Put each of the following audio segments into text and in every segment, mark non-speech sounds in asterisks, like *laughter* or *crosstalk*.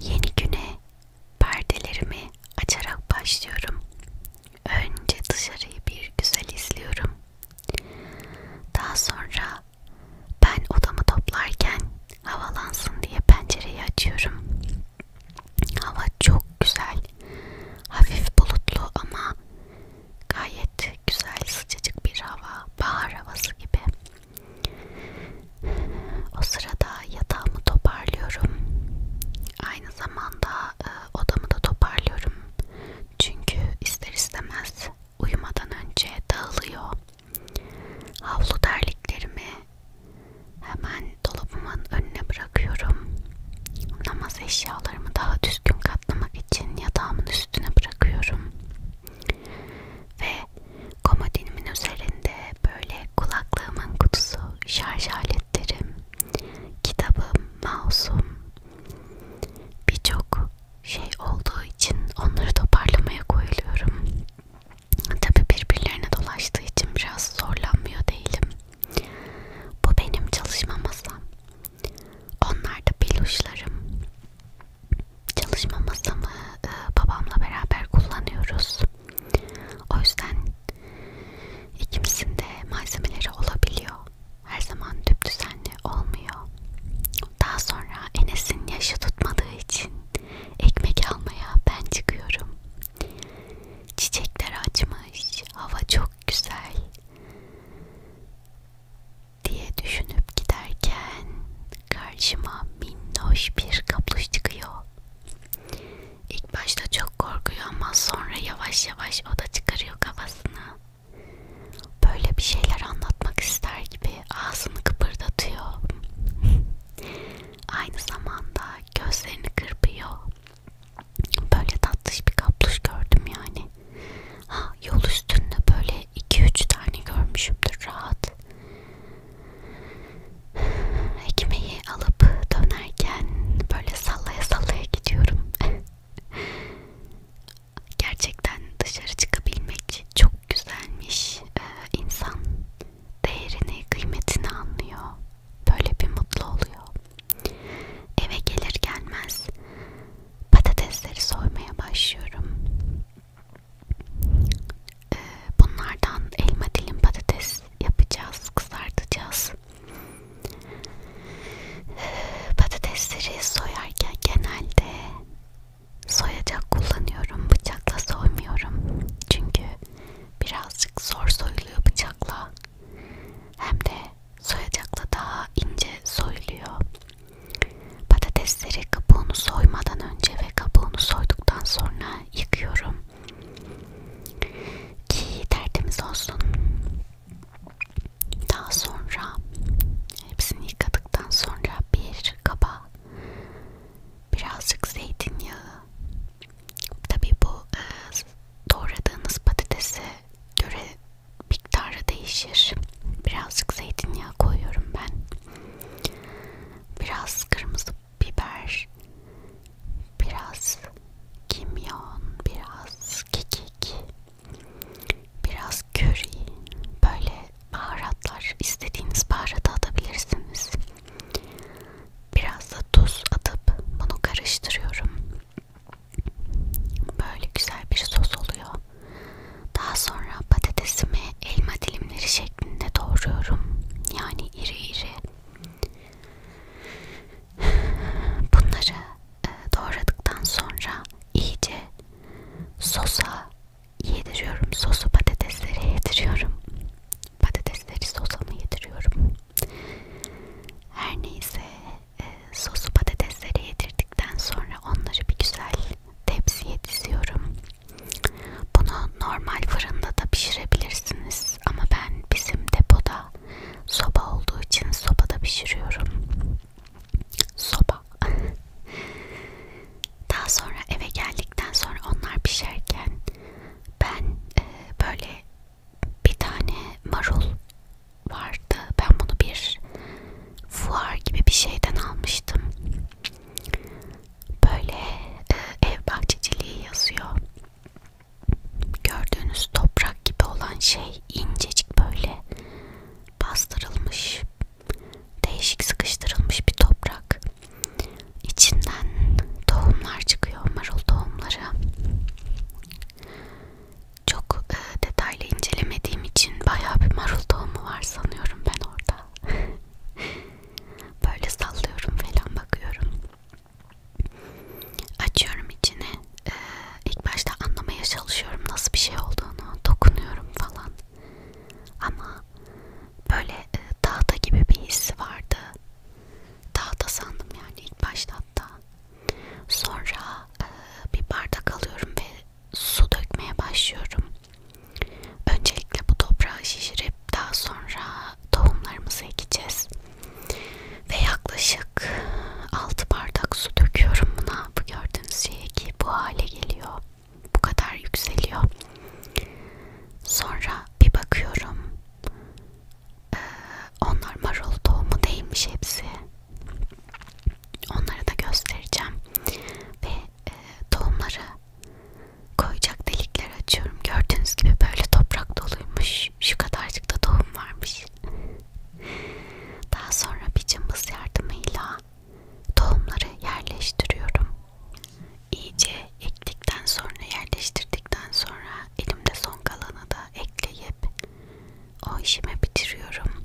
Yeni güne perdelerimi açarak başlıyorum. Önce dışarıyı bir güzel izliyorum. Daha sonra ben odamı toplarken havalansın diye pencereyi açıyorum. Hava çok güzel. Hafif bulutlu ama gayet güzel sıcacık bir hava. Bahar havası gibi. O sırada yatağımı toparlıyorum. Aynı zamanda e, odamı da toparlıyorum. Çünkü ister istemez uyumadan önce dağılıyor. Havlu terliklerimi hemen dolabımın önüne bırakıyorum. Namaz eşyalarımı daha düzgün katlamak için yatağımın üstüne bırakıyorum. Ve komodinimin üzerinde böyle kulaklığımın kutusu, şarj aletlerim, kitabım, mouse'um birçok şey olduğu için onları toparlamaya koyuluyorum. Tabi birbirlerine dolaştığı için biraz zorlanmıyor değilim. Bu benim çalışma masam. Onlar da peluşlarım çalışma masamı e, babamla beraber kullanıyoruz. O yüzden ikimizin de malzemeleri olabiliyor. Her zaman tüp düzenli olmuyor. Daha sonra Enes'in yaşı tutmadığı için ekmek almaya ben çıkıyorum. Çiçekler açmış, hava çok güzel diye düşünüp giderken karşıma minnoş bir kapluş çıkıyor. İlk başta çok korkuyor ama sonra yavaş yavaş o da çıkarıyor kafasını. Böyle bir şeyler anlatmak ister gibi ağzını kıpırdatıyor. *laughs* Aynı zamanda gözlerini kırpıyor. Böyle tatlış bir kapluş gördüm yani. Ha, yol üstünde böyle 2-3 tane görmüşümdür rahat. Ekmeği alıp dönerken böyle sallaya sallaya gidiyorum. *laughs* Gerçekten dışarı çıkabilmek çok güzelmiş. Ee, insan değerini, kıymetini anlıyor. Böyle bir mutlu oluyor. Eve gelir gelmez patatesleri soymaya başlıyorum. Ee, bunlardan elma dilim patates yapacağız, kızartacağız. Ee, patatesleri soyarken genelde soyacak kullanıyorum, bıçakla soymuyorum. Çünkü birazcık zor soyuluyor bıçakla. Hem de soyacakla daha ince soyuluyor. Patatesleri kabuğunu soymadan önce ve kabuğunu soyduktan sonra yıkıyorum ki tertemiz olsun. Daha sonra hepsini yıkadıktan sonra bir kaba birazcık zeytinyağı. Tabii bu e, doğradığınız patatese göre miktarı değişir. Birazcık zeytinyağı koyuyorum ben. Biraz kırmızı biber, biraz kimyon, biraz kekik, biraz köri. Böyle baharatlar istediğiniz baharatı atabilirsiniz. Biraz da tuz atıp bunu karıştırıyorum. Böyle güzel bir sos oluyor. Daha sonra patatesimi elma dilimleri şeklinde doğruyorum. Yani iri iri. Bunları e, doğradıktan sonra iyice sosa yediriyorum. Sosu patateslere yediriyorum. Patatesleri sosa mı yediriyorum? Her neyse e, sosu patateslere yedirdikten sonra onları bir güzel tepsiye diziyorum. Bunu normal fırında da pişirebilirsiniz ama ben bizim depoda soba olduğu için sobada pişiriyorum. Soba. Daha sonra eve geldikten sonra onlar pişerken ben e, böyle bir tane marul vardı. Ben bunu bir fuar gibi bir şeyden almıştım. Böyle e, ev bahçeciliği yazıyor. Gördüğünüz toprak gibi olan şey incecik böyle bastırılmış, değişik sıkıştırılmış bir toprak. İçinden tohumlar çıkıyor, marul tohumları. Çok e, detaylı incelemediğim için bayağı bir marul tohumu var sanıyorum ben orada. *laughs* Böyle sallıyorum falan bakıyorum. Açıyorum içine. Ee, ilk başta anlamaya çalışıyorum nasıl bir şey olduğunu. Dokunuyorum falan. Ama böyle e, tahta gibi bir hissi vardı. Tahta sandım yani ilk başta hatta. Sonra e, bir bardak alıyorum ve su dökmeye başlıyorum. Öncelikle bu toprağı şişirip daha sonra tohumlarımızı ekeceğiz. Ve yaklaşık 6 bardak su döküyorum buna. Bu gördüğünüz şey ki bu hale geliyor. Bu kadar yükseliyor. Sonra bir bakıyorum. Ee, onlar marul tohumu değilmiş hepsi. Onları da göstereceğim. Ve e, tohumları koyacak delikler açıyorum. Gördüğünüz gibi böyle toprak doluymuş. Şu kadarcık da tohum varmış. Daha sonra bir cımbız yardımıyla tohumları yerleştiriyorum. İyice ektikten sonra yerleştirdikten sonra elimde son kalanı da ekleyip o işimi bitiriyorum.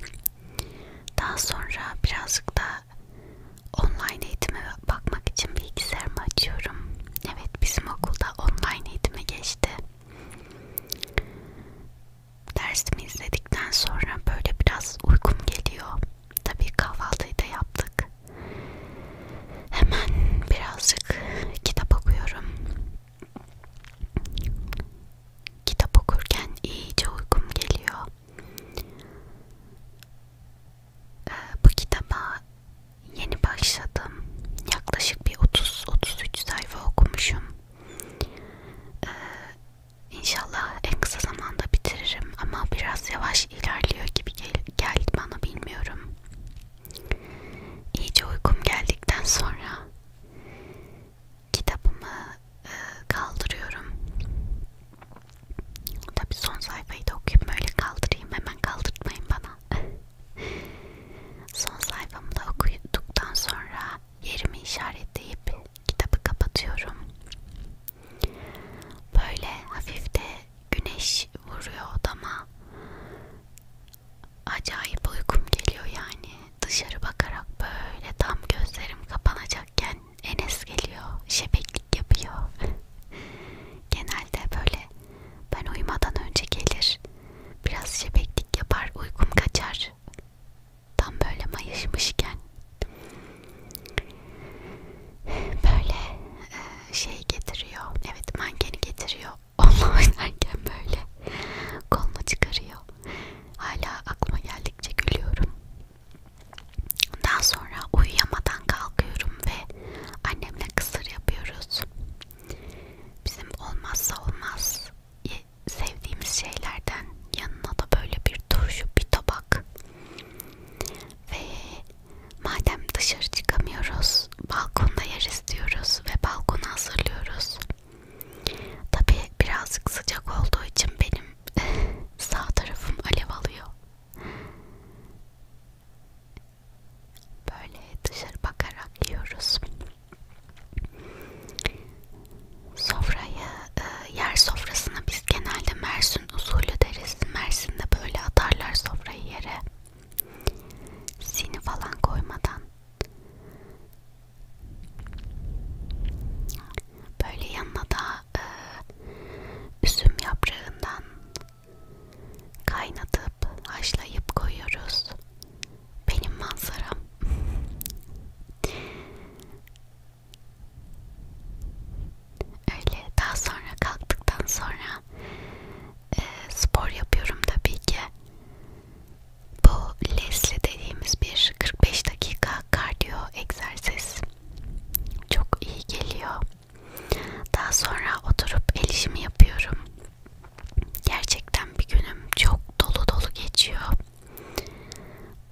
Daha sonra birazcık da online eğitime bakmak için bilgisayarımı açıyorum. Evet bizim okulda online eğitime geçti. Dersimi izledikten sonra böyle biraz uykum geliyor. Tabii kahvaltıyı da yaptık. Hemen birazcık kitap okuyorum. Kitap okurken iyice uykum geliyor. Ee, bu kitaba yeni başladım. Yaklaşık bir 30-33 sayfa okumuşum. Ee, İnşallah en kısa zamanda bitiririm ama biraz yavaş ilerliyor gibi gel geldi bana bilmiyorum. İyice uykum geldikten sonra kitabımı kaldırıyorum. Tabi son sayfayı da okuyup böyle kaldırayım. Hemen kaldırtmayın bana. *laughs* son sayfamı da okuduktan sonra yerimi işaretleyip kitabı kapatıyorum. Böyle hafif de güneş vuruyor odama. Acayip uykum geliyor yani. Dışarı bakarak böyle tam gözlerim kapanacakken Enes geliyor, şebeklik yapıyor. *laughs* Genelde böyle ben uyumadan önce gelir, biraz şebeklik yapar, uykum kaçar. Tam böyle mayışmışken. Böyle e, şey getiriyor, evet mankeni getiriyor. *laughs* Onunla oynarken böyle kolunu çıkarıyor. Hala aklıma geldikçe gülüyorum. Daha sonra uyuyamadan kalkıyorum ve annemle kısır yapıyoruz. Bizim olmazsa olmaz sevdiğimiz şeylerden yanına da böyle bir turşu, bir tabak. Ve madem dışarı çıkamıyoruz, balkonda yer istiyoruz ve balkonu hazırlıyoruz. Tabi birazcık sıcak olduğu için benim sağ tarafım alev alıyor. Böyle dışarı bakarak yiyoruz. Sofrayı, e, yer sofrasına biz genelde Mersin usulü deriz. Mersin'de böyle atarlar sofrayı yere. Sini falan koymadan. Böyle yanına da e, üzüm yaprağından kaynatıp haşlayıp koyuyoruz. Benim manzaram. Öyle daha sonra kalktıktan sonra e, spor yapıyorum tabii ki. Bu Leslie dediğimiz bir 45 dakika kardiyo egzersiz çok iyi geliyor. Daha sonra oturup el işimi yapıyorum. Gerçekten bir günüm çok dolu dolu geçiyor.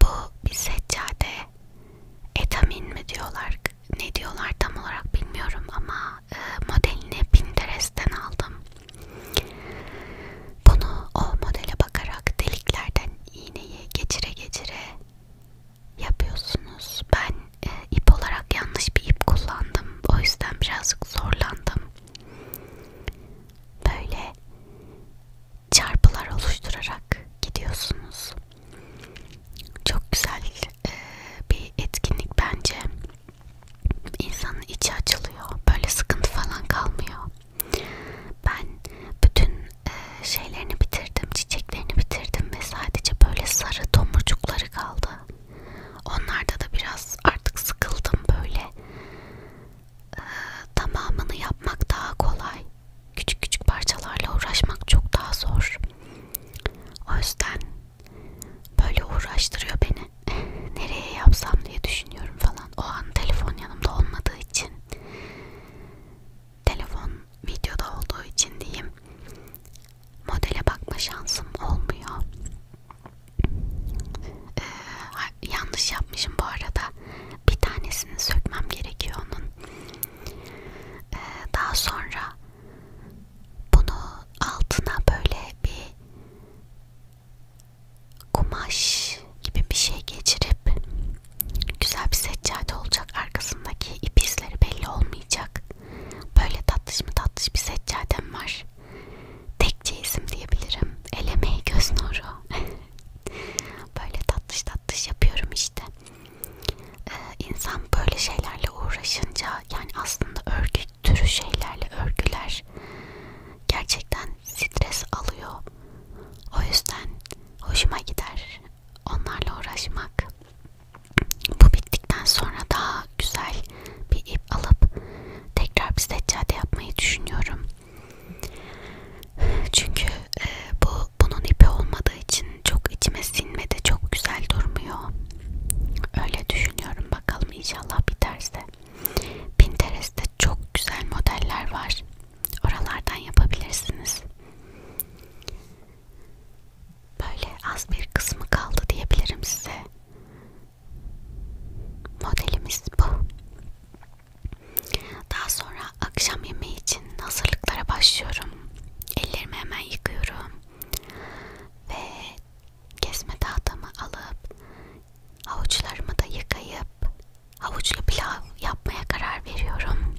Bu bir seccade etamin mi diyorlar ne diyorlar tam olarak bilmiyorum ama e, modelini Pinterest'ten aldım. Bunu o modele bakarak deliklerden iğneyi geçire geçire yapıyorsunuz. Ben e, ip olarak yanlış bir ip kullandım. O yüzden birazcık zorlandım. Böyle çarpılar oluşturarak gidiyorsunuz. Çok güzel e, bir etkinlik bence. İnsanın içi açılıyor. Böyle sıkıntı falan kalmıyor. Ben bütün e, şeylerini bitirdim, çiçeklerini bitirdim ve sadece böyle sarı tomurcukları kaldı. Onlarda da biraz artık sıkıldım böyle. E, tamamını yapmak daha kolay. Küçük küçük parçalarla uğraşmak çok daha zor. O yüzden böyle uğraştırıyor beni. *laughs* Nereye yapsam diye düşünüyorum falan. O an telefon yanımda olmadığı için telefon videoda olduğu için diyeyim modele bakma şansım olmuyor. Ee, yanlış yapmışım bu arada. Bir tanesini sökmem gerekiyor onun. Ee, daha sonra bunu altına böyle bir kumaş gibi bir şey geçirip güzel bir seccade olacak arkasındaki ip izleri belli olmayacak böyle tatlış mı tatlış bir seccadem var tekçe isim diyebilirim elemeyi göz nuru *laughs* böyle tatlış tatlış yapıyorum işte ee, insan böyle şeylerle uğraşınca yani aslında örgü türü şeylerle örgüler gerçekten stres alıyor o yüzden hoşuma gider onlarla uğraşmak. Bu bittikten sonra daha güzel bir ip alıp tekrar bir seccade yapmayı düşünüyorum. Çünkü e, bu bunun ipi olmadığı için çok içime sinmedi, çok güzel durmuyor. Öyle düşünüyorum bakalım inşallah biterse. Pinterest'te çok güzel modeller var. Oralardan yapabilirsiniz. Böyle az bir kısmı kaldı diyebilirim size. Modelimiz bu. Daha sonra akşam yemeği için hazırlıklara başlıyorum. Ellerimi hemen yıkıyorum. Ve kesme tahtamı alıp avuçlarımı da yıkayıp havuçlu pilav yapmaya karar veriyorum.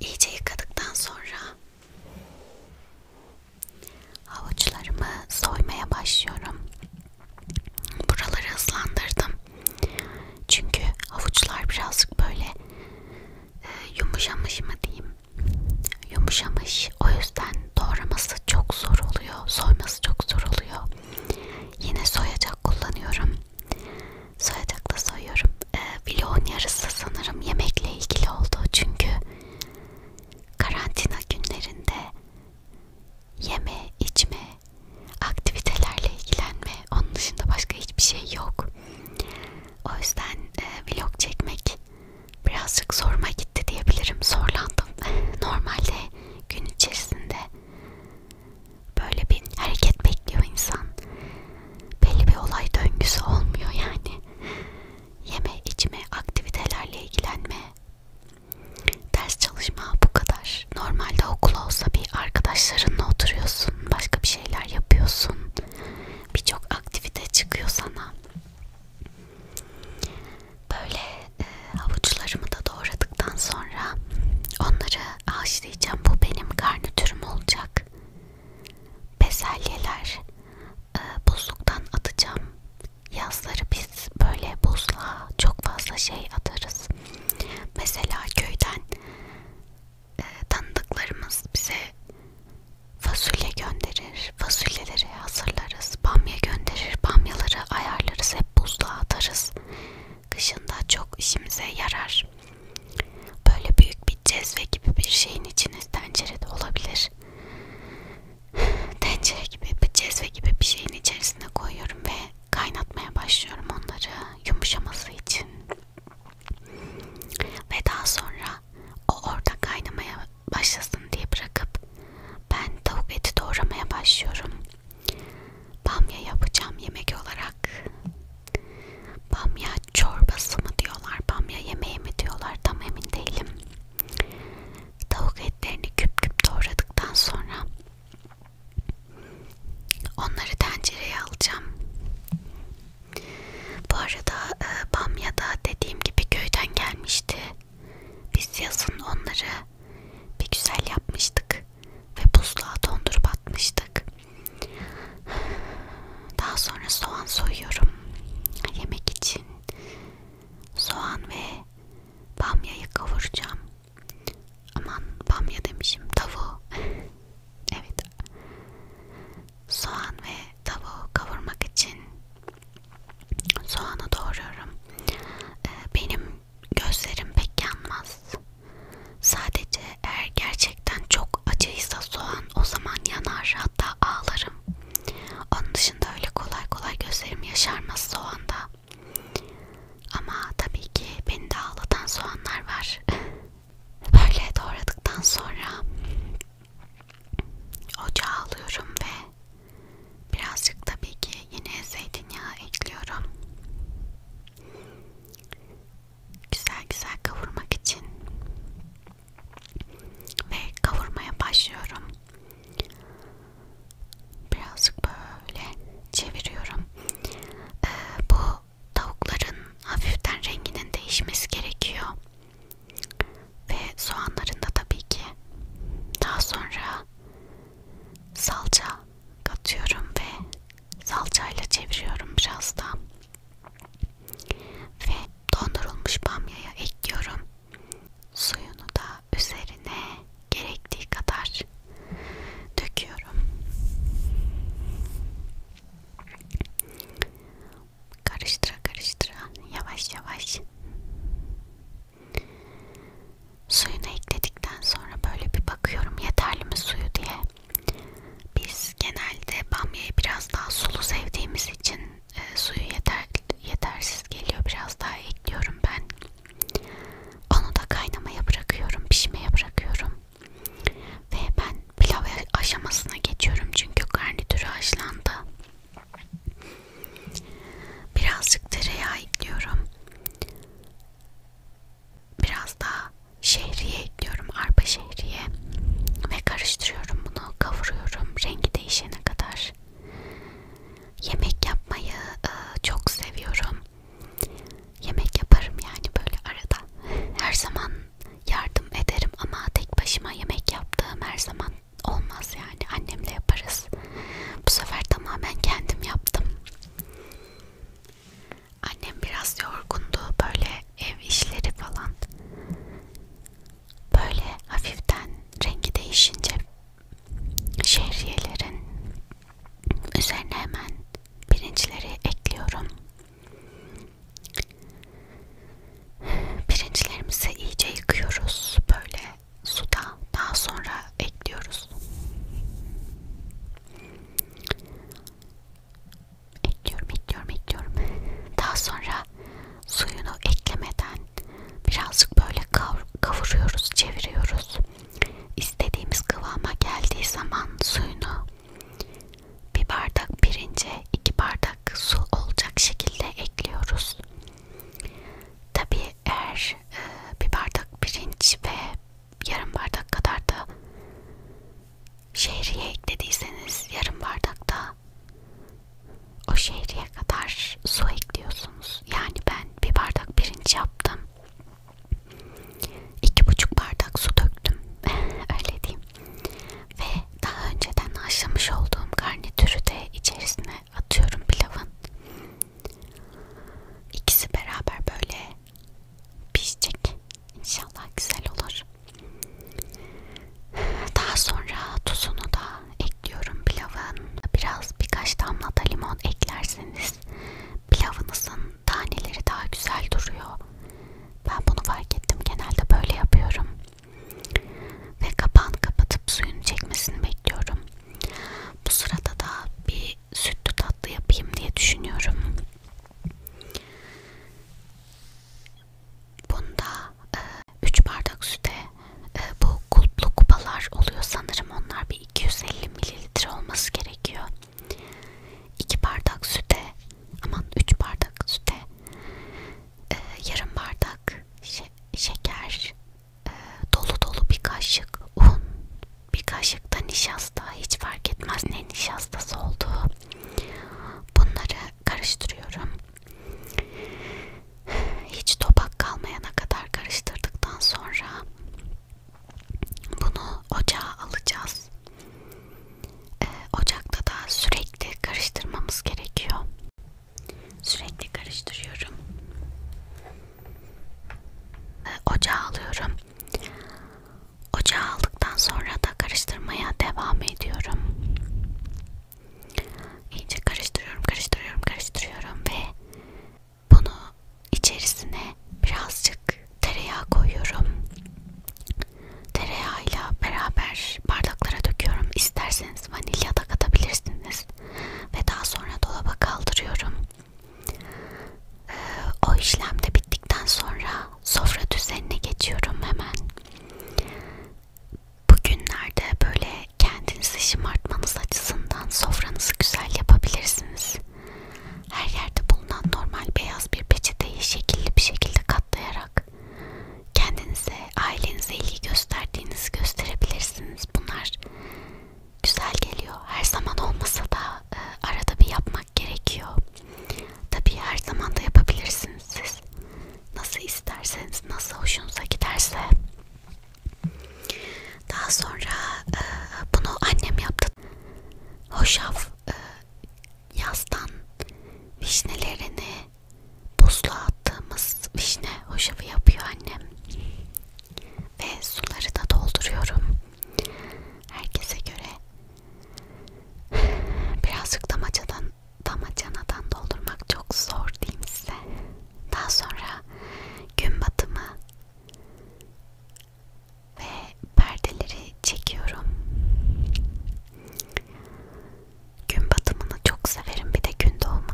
İyice yıkadıktan sonra havuçlarımı soymaya başlıyorum. Buraları hızlandırdım. Çünkü havuçlar birazcık böyle e, yumuşamış mı diyeyim. Yumuşamış. O yüzden doğraması çok zor oluyor. Soyması çok zor oluyor. Yine soyacak kullanıyorum. Soyacakla soyuyorum. Ee, vlogun yarısı sanırım yemekle ilgili oldu. Çünkü karantina günlerinde yeme, içme, aktivitelerle ilgilenme, onun dışında başka hiçbir şey yok. O yüzden e, vlog çekmek birazcık zoruma gitti diyebilirim. Zorlandım. *laughs* Normalde gün içerisinde Böyle bir hareket bekliyor insan. Belli bir olay döngüsü olmuyor yani. Yeme, içme, aktivitelerle ilgilenme, ders çalışma bu kadar. Normalde okula olsa bir arkadaşlarınla oturuyorsun, başka bir şeyler yapıyorsun. Birçok aktivite çıkıyor sana. Böyle e, havuçlarımı da doğradıktan sonra onları Haşlayacağım. Bu benim garnitürüm olacak. Bezelyeler e, buzluktan atacağım. Yazları biz böyle buzluğa çok fazla şey atarız. Mesela köyden e, tanıdıklarımız bize fasulye gönderir. Fasulyeleri hazırlarız. Bamya gönderir. Bamyaları ayarlarız. Hep buzluğa atarız kışında çok işimize yarar. Böyle büyük bir cezve gibi bir şeyin içiniz tencere de olabilir. Tencere gibi bir cezve gibi bir şeyin içerisine koyuyorum ve kaynatmaya başlıyorum onları yumuşaması için. Ve daha sonra o orada kaynamaya başlasın diye bırakıp ben tavuk eti doğramaya başlıyorum. Bamya yapacağım yemek olarak. Bamya çorbası mı diyorlar, bamya yemeği mi diyorlar tam emin değilim. Tavuk etlerini küp küp doğradıktan sonra onları tencereye alacağım. Bu arada e, bamyada dediğim gibi köyden gelmişti. Biz yazın onları bir güzel yapmıştık ve buzluğa dondurup atmıştık. Daha sonra soğan soyuyorum yemek için. Soğan ve bamyayı kavuracağım. Aman bamya demişim tavuğu. *laughs* evet. Soğan ve tavuğu kavurmak için soğanı doğruyorum. Ee, benim gözlerim pek yanmaz. Sadece eğer gerçekten çok acıysa soğan o zaman yanar hatta ağlarım. Onun dışında öyle kolay kolay gözlerim yaşarmaz soğanda. Ama tabii ki beni de ağlatan soğanlar var. *laughs* Böyle doğradıktan sonra ocağa alıyorum ve birazcık tabii ki yine zeytinyağı ekliyorum güzel güzel kavurmak için ve kavurmaya başlıyorum. Birazcık böyle çeviriyorum. Ee, bu tavukların hafiften renginin değişmesi gerekiyor. Ve soğanların da tabii ki. Daha sonra salça katıyorum ve salçayla çeviriyorum biraz da ve dondurulmuş bamyaya ekliyorum suyunu da üzerine gerektiği kadar döküyorum karıştıra karıştıra yavaş yavaş Suyunu ekledikten sonra böyle bir bakıyorum yeterli mi suyu diye. Biz genelde bamyayı biraz daha sulu sevdiğimiz için e, suyu yeter, yetersiz geliyor. Biraz daha ekliyorum ben. Onu da kaynamaya bırakıyorum, pişmeye bırakıyorum. Ve ben pilav aşamasına geçiyorum çünkü garnitürü haşlandı. Birazcık tereyağı ekliyorum. Biraz daha şehriye ekliyorum. Arpa şehriye. Ve karıştırıyorum bunu. Kavuruyorum. Rengi değişene kadar. Yemek yapmayı e, çok seviyorum. Yemek yaparım yani böyle arada. Her zaman yardım ederim ama tek başıma yemek yaptığım her zaman olmaz yani. Annemle yaparız. Bu sefer tamamen kendim yaptım. Annem biraz yorgundu böyle ev işleri falan. Böyle hafiften rengi değişince şehriyelerin üzerine hemen pirinçleri ekliyorum. Pirinçlerimizi iyice yıkıyoruz böyle suda. Daha sonra ekliyoruz. Ekliyorum, ekliyorum, ekliyorum. Daha sonra suyunu eklemeden birazcık böyle kavur, kavuruyoruz, çeviriyoruz. İstediğimiz kıvama geldiği zaman suyunu bir bardak pirince iki bardak su olacak şekilde ekliyoruz. Tabii eğer e, bir bardak pirinç ve yarım bardak kadar da şehriye eklediyseniz yarım bardak da o şehriye kadar su ekliyorsunuz. Yani ben bir bardak pirinç yaptım. İki buçuk bardak su döktüm. *laughs* Öyle diyeyim. Ve daha önceden haşlamış olduğum garnitürü de içerisine atıyorum pilavın. İkisi beraber böyle pişecek. İnşallah güzel olur. Daha sonra tuzunu da ekliyorum pilavın. Biraz birkaç damla da limon eklerseniz pilavınızın taneleri daha güzel duruyor. Ben bunu fark ettim. Genelde böyle yapıyorum. Ve kapağını kapatıp suyunu çekmesini bekliyorum. Bu sırada da bir bir sütlü tatlı yapayım diye düşünüyorum. Bunda 3 e, bardak süte e, bu kulplu kupalar oluyor sanırım onlar bir 250 mililitre olması gerekiyor. 2 bardak süte aman 3 bardak süte e, yarım bardak şe şeker e, dolu dolu bir kaşık un bir kaşık da nişasta hiç fark etmez ne nişastası olduğu bunları karıştırıyorum hiç topak kalmayana kadar karıştırdıktan sonra bunu ocağa alacağız ee, ocakta da sürekli karıştırmamız gerekiyor sürekli karıştırıyorum ocağa alıyorum Ocağa aldıktan sonra da karıştırmaya devam ediyorum. İyice karıştırıyorum, karıştırıyorum, karıştırıyorum ve bunu içerisine birazcık tereyağı koyuyorum. Tereyağıyla beraber bardaklara döküyorum. İsterseniz vanilya da katabilirsiniz. Ve daha sonra dolaba kaldırıyorum. Ee, o işlem de bittikten sonra sofra düzenine geçiyorum hemen. Bugünlerde böyle kendinizi şımartmanız açısından sofranızı güzel yapabilirsiniz. Her yerde bulunan normal beyaz bir peçeteyi şekilli bir şekilde katlayarak kendinize, ailenize ilgi gösterdiğinizi gösterebilirsiniz. Bunlar güzel geliyor. Her zaman olmasa da e, arada bir yapmak gerekiyor. Tabii her zaman da yapabilirsiniz siz. Nasıl isterseniz, nasıl hoşunuza giderse. Daha sonra e, bunu annem yaptı. Hoşaf e, yazdan vişnelerini buzluğa attığımız vişne hoşafı yapıyor annem. Ve suları da dolduruyorum. Herkese göre birazcık damacadan, damacanadan doldurmak çok zor diyeyim size. Daha sonra gün batımı ve perdeleri çekiyorum. Gün batımını çok severim bir de gün doğumunu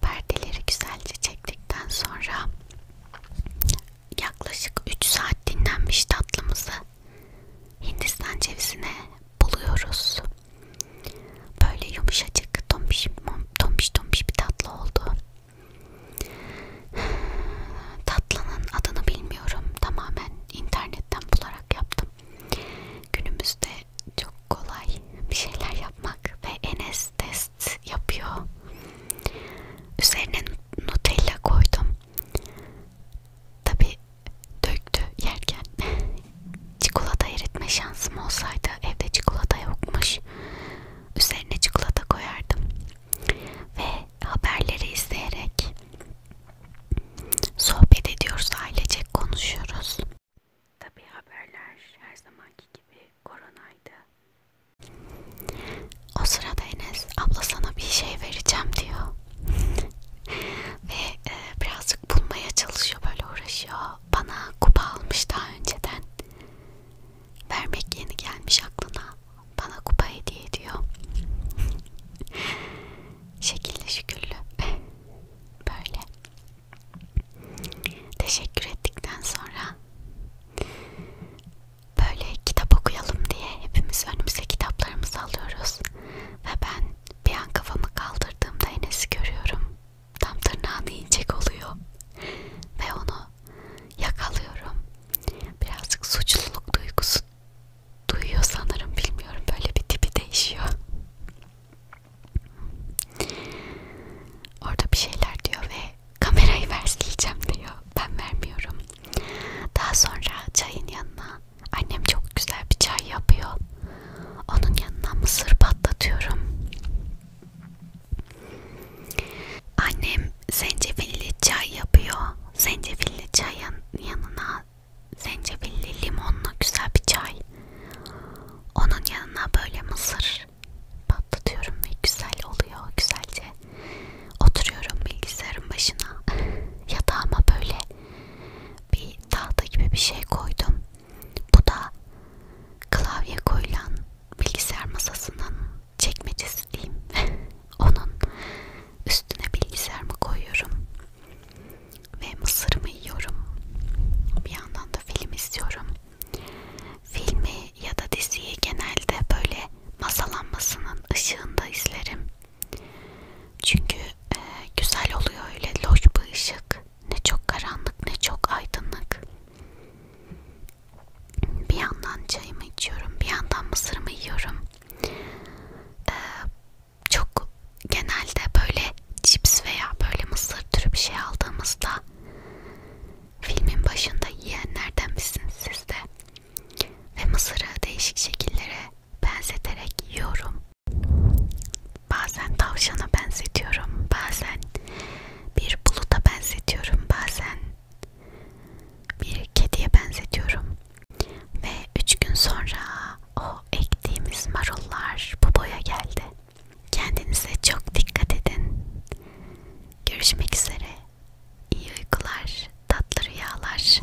perdeleri güzelce çektikten sonra yaklaşık 3 saat dinlenmiş tatlımızı Hindistan cevizine buluyoruz. Böyle yumuşacık, tombiş, tombiş, tombiş bir tatlı oldu. Tatlının adını bilmiyorum. Tamamen internetten bularak yaptım. Günümüzde çok kolay bir şeyler yapmak ve Enes de test yapıyor. Üzerine Nutella koydum. Tabi döktü yerken. *laughs* çikolata eritme şansım olsaydı evde çikolata yokmuş. Üzerine çikolata koyardım. Ve haberleri izleyerek sohbet ediyoruz, ailecek konuşuyoruz. Tabi haberler her zamanki gibi koronaydı. O sırada Enes abla sana bir şey vereceğim diyor ve e, birazcık bulmaya çalışıyor böyle uğraşıyor. Bana kupa almış daha önceden. Vermek yeni gelmiş aklına. Bana kupa hediye ediyor. Şekilli şükürlü. *laughs* böyle teşekkür ettikten sonra böyle kitap okuyalım diye hepimiz önümüze kitaplarımızı alıyoruz ve ben bir an kafamı kaldırdığımda Enes'i görüyorum tam tırnağını yiyecek oluyor ve onu yakalıyorum birazcık suçluluk duygusu duyuyor sanırım bilmiyorum böyle bir tipi değişiyor orada bir şeyler diyor ve kamerayı versileceğim diyor. Ben vermiyorum. Daha sonra çayın yanına annem çok güzel bir çay yapıyor. Onun yanına mısır patlatıyorum. Annem zencefilli çay yapıyor. Zencefilli çayın yanına zencefilli limonlu güzel bir çay. Onun yanına böyle mısır patlatıyorum ve güzel oluyor güzelce oturuyorum bilgisayarın başına *laughs* yatağıma böyle bir tahta gibi bir şey koydum bu da klavye koyulan bilgisayar masasının çekmecesi diyeyim *laughs* onun üstüne bilgisayarımı koyuyorum ve mısırımı yiyorum bir yandan da film izliyorum filmi filmi ya da diziyi genelde böyle masalanmasının ışığında izlerim. Çünkü e, güzel oluyor öyle loş bir ışık. Ne çok karanlık ne çok aydınlık. Bir yandan çayımı içiyorum, bir yandan mısırımı yiyorum. Ee, çok genelde böyle cips veya böyle mısır türü bir şey aldığımızda Filmin başında yiyenlerden misiniz siz de? Ve mısırı değişik şekillere benzeterek yiyorum. Bazen tavşana benzetiyorum, bazen bir buluta benzetiyorum, bazen bir kediye benzetiyorum. Ve üç gün sonra o ektiğimiz marullar bu boya geldi. Kendinize çok dikkat edin. Görüşmek üzere. İyi uykular, tatlı rüyalar.